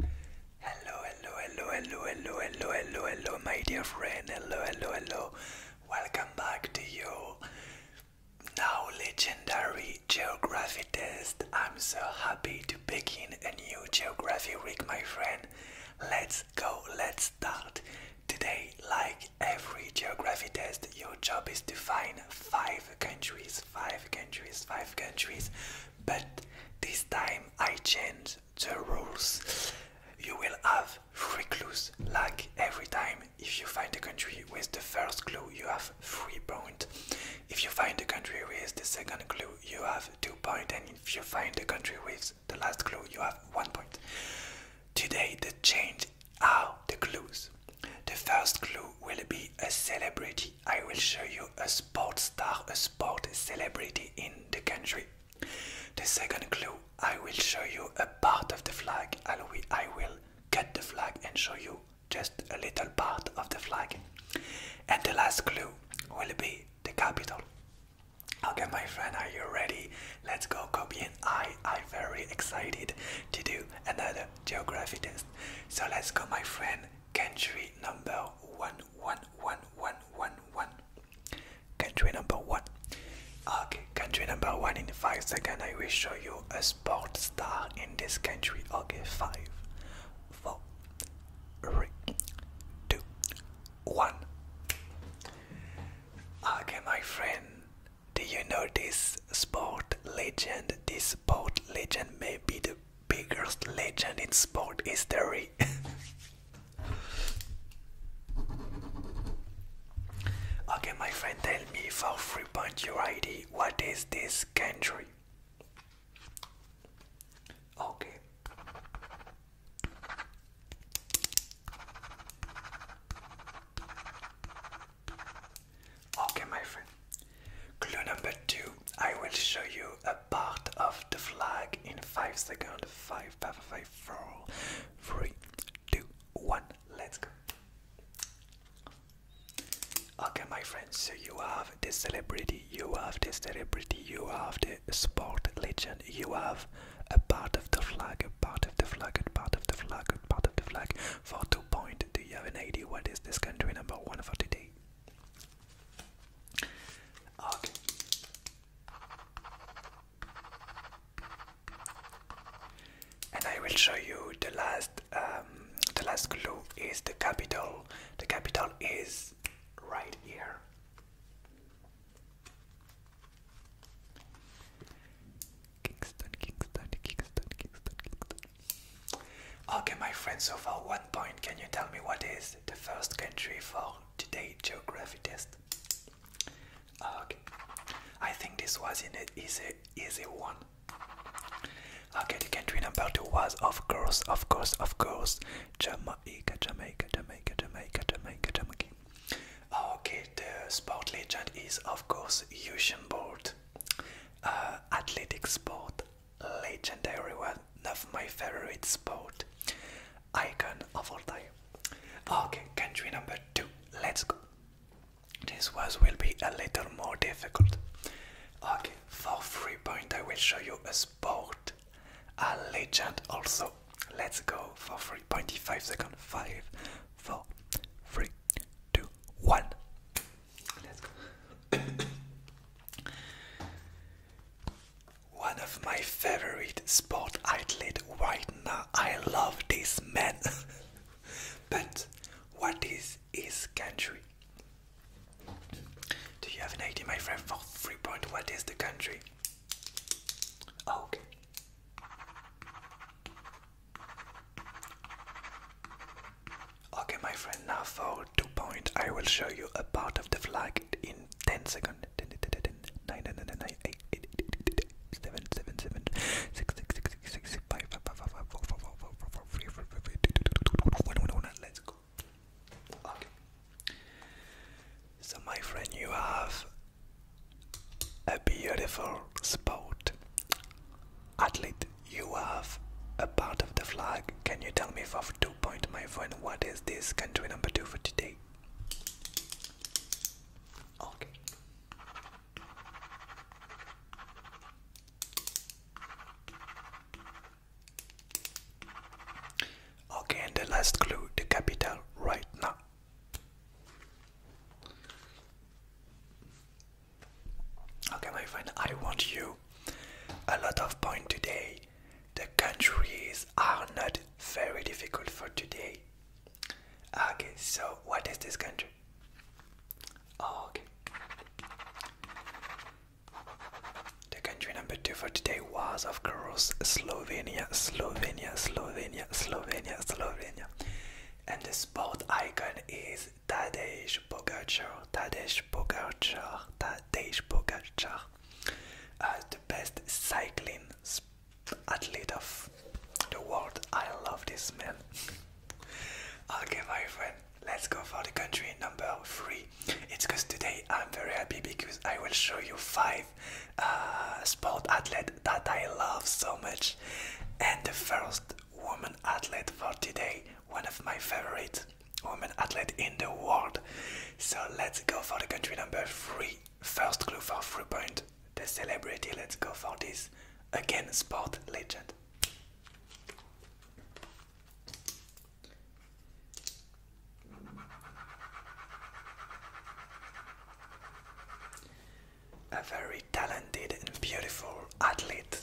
Hello, hello, hello, hello, hello, hello, hello, hello, my dear friend. Hello, hello, hello. Welcome back to you, now legendary geography test. I'm so happy to begin a new geography rig, my friend. Let's go, let's start. Today, like every geography test, your job is to find five countries, five countries, five countries but this time I change the rules. You will have three clues. like every time. If you find a country with the first clue, you have three points. If you find a country with the second clue, you have two points. And if you find a country with the last clue, you have one point. Today, the change are the clues. The first clue will be a celebrity. I will show you a sports star, a sport celebrity in the country. The second clue, I will show you a part of the flag. I will get the flag and show you just a little part of the flag. And the last clue will be the capital. Okay, my friend, are you ready? Let's go, Kobe I I very excited to do another geography test. So let's go, my friend. Country number one one, one, one, one, one. Country number one. Okay, country number one. In five seconds, I will show you a sport star in this country. Okay, five, four, three, two, one. Okay, my friend. Do you know this sport legend? This sport legend may be the biggest legend in sport history. okay, my friend, tell me for free point your ID. What is this country? Okay. Okay, my friend. Clue number two I will show you a part of the flag in 5 seconds. 5, 5, 5, let Let's go. Okay, my friends, so you have the celebrity, you have the celebrity, you have the sport legend, you have a part of the flag, a part of the flag, a part of the flag, a part of the flag. For two points, do you have an idea what is this country number one for today? And I will show you the last um, the last clue is the capital. The capital is right here. Kingston, Kingston, Kingston, Kingston, Kingston. Okay, my friend, so for one point, can you tell me what is the first country for today's geography test? Okay, I think this was an easy, easy one. Okay, the country number two was, of course, of course, of course, Jamaica, Jamaica, Jamaica, Jamaica, Jamaica, Jamaica. Okay, the sport legend is, of course, Usain Bolt, uh, athletic sport, legendary one of my favorite sport icon of all time. Okay, country number two. Let's go. This was will be a little more difficult. Okay, for free point I will show you a sport, a legend also. Let's go for three point five second. point five seconds. Five, four, three, two, one. One of my favorite sport athlete right I love this man. but what is his country? Do you have an idea, my friend, for free point? What is the country? Okay. Okay, my friend, now for two point, I will show you a part of the flag in 10 seconds. 10, 1, let's go. Okay. So, my friend, you have a beautiful spot. Athlete, you have a part of the flag. Can you tell me for point, my friend. What is this country number two for today? Okay. Okay, and the last clue, the capital right now. Okay, my friend, I want you a lot of point today. The countries are not very difficult for today. Okay, so what is this country? Okay. The country number two for today was, of course, Slovenia, Slovenia, Slovenia, Slovenia, Slovenia. And the sport icon is Tadej Tadej Pogacar, Tadej Pogacar, Tadej Pogacar, uh, the best cycling athlete of the world. I love this man. okay, my friend, let's go for the country number three. It's because today I'm very happy because I will show you five uh, sport athletes that I love so much, and the first woman athlete for today, one of my favorites, Woman athlete in the world. So let's go for the country number three. First clue for three point. The celebrity. Let's go for this. Again, sport legend. A very talented and beautiful athlete.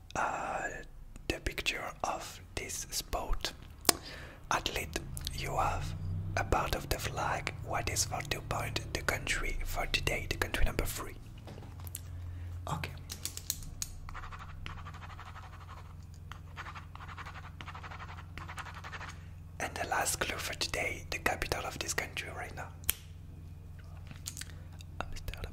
Uh, the picture of this sport. At least you have a part of the flag what is for the point the country for today, the country number three. Okay. And the last clue for today, the capital of this country right now. Amsterdam.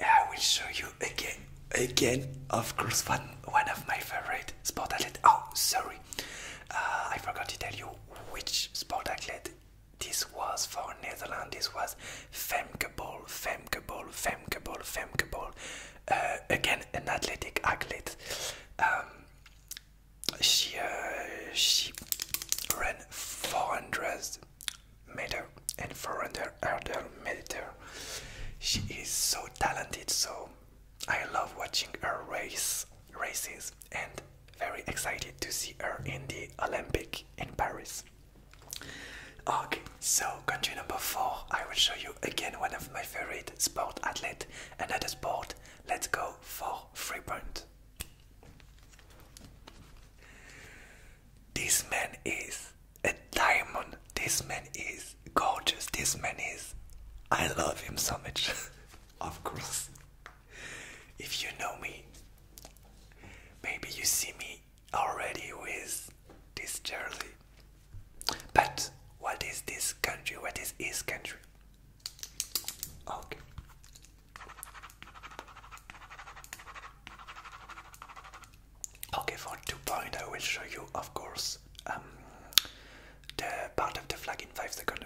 I will show you again, again, of course, one, one of my favorite sport athlete. Oh, sorry, uh, I forgot to tell you which sport athlete this was for Netherlands. This was Femke Bol, Femke Bol, Femke Bol, Femke Bol. Uh, again, an athletic athlete. Um, she uh, she ran 400 meters and for under her mediator. She is so talented, so I love watching her race races and very excited to see her in the Olympic in Paris. Okay, so country number four, I will show you again one of my favorite sport athlete, another sport. Let's go for free point. This man is a diamond. This man is gorgeous. This man is. I love him so much. of course. If you know me, maybe you see me already with this jersey. But what is this country? What is his country? Okay. Okay, for 2.0, I will show you, of course, um, the part of the flag in 5 seconds.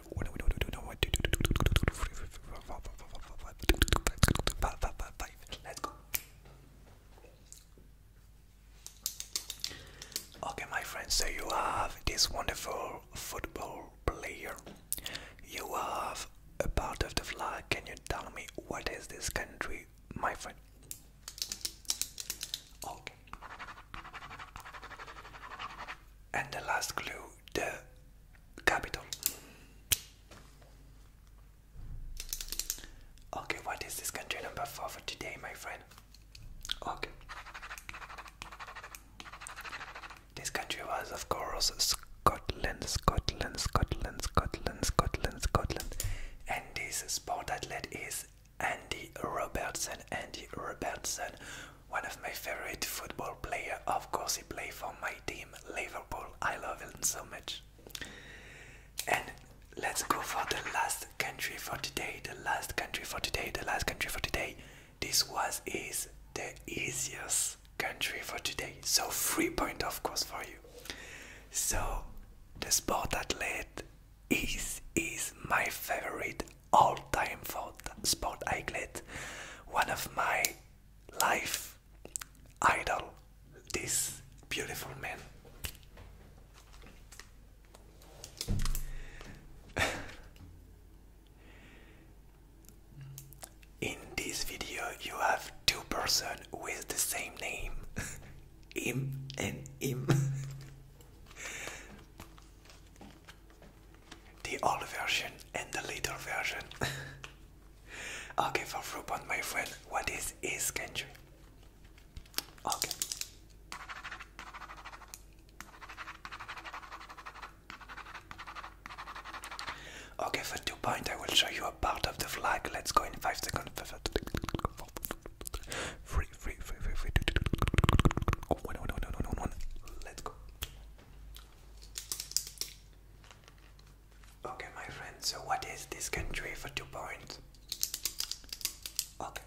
Okay, my friends, so you have this wonderful football player. You have a part of the flag. Can you tell me what is this country, my friend? Oh. And the last clue, the capital. Okay, what is this country number four for today, my friend? Okay. This country was, of course, Scotland, Scotland, Scotland, Scotland, Scotland, Scotland, this sport athlete is Andy Robertson. Andy Robertson, one of my favorite football player. Of course, he play for my team, Liverpool. I love him so much. And let's go for the last country for today. The last country for today. The last country for today. This was is the easiest country for today. So free point, of course, for you. So the sport athlete is is my favorite all-time sport athlete, one of my life idol. This beautiful man. In this video, you have two persons with the same name. im and im. the old version and the little version. okay, for Rupon, my friend, what is is kanji? Okay. Okay, for two point, I will show you a part of the flag. Let's go in five seconds. Free, free, free, free, free. One, one, one, one, one, one. Let's go. Okay, my friend, so what is this country for two points? Okay.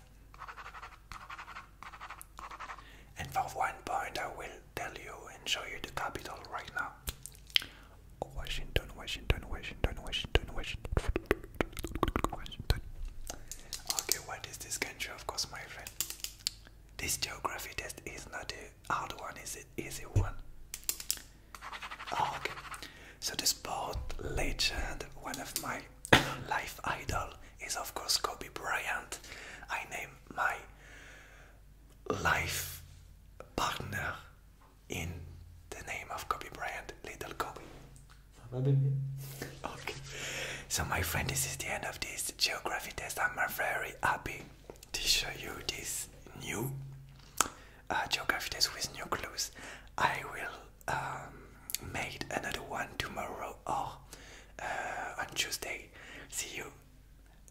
And for one point, I will tell you and show you the capital right now. Don't Don't Washington, Washington, Washington, Washington, Washington, Washington. Okay, what is this country? Of course, my friend. This geography test is not a hard one, it's an easy one. Ah, okay, so the sport legend, one of my life idol, is of course Kobe Bryant. I name my life partner in the name of Kobe Bryant, Little Kobe. So, my friend, this is the end of this geography test. I'm very happy to show you this new uh, geography test with new clues. I will um, make another one tomorrow or oh, uh, on Tuesday. See you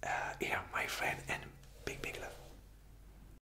uh, here, my friend, and big, big love.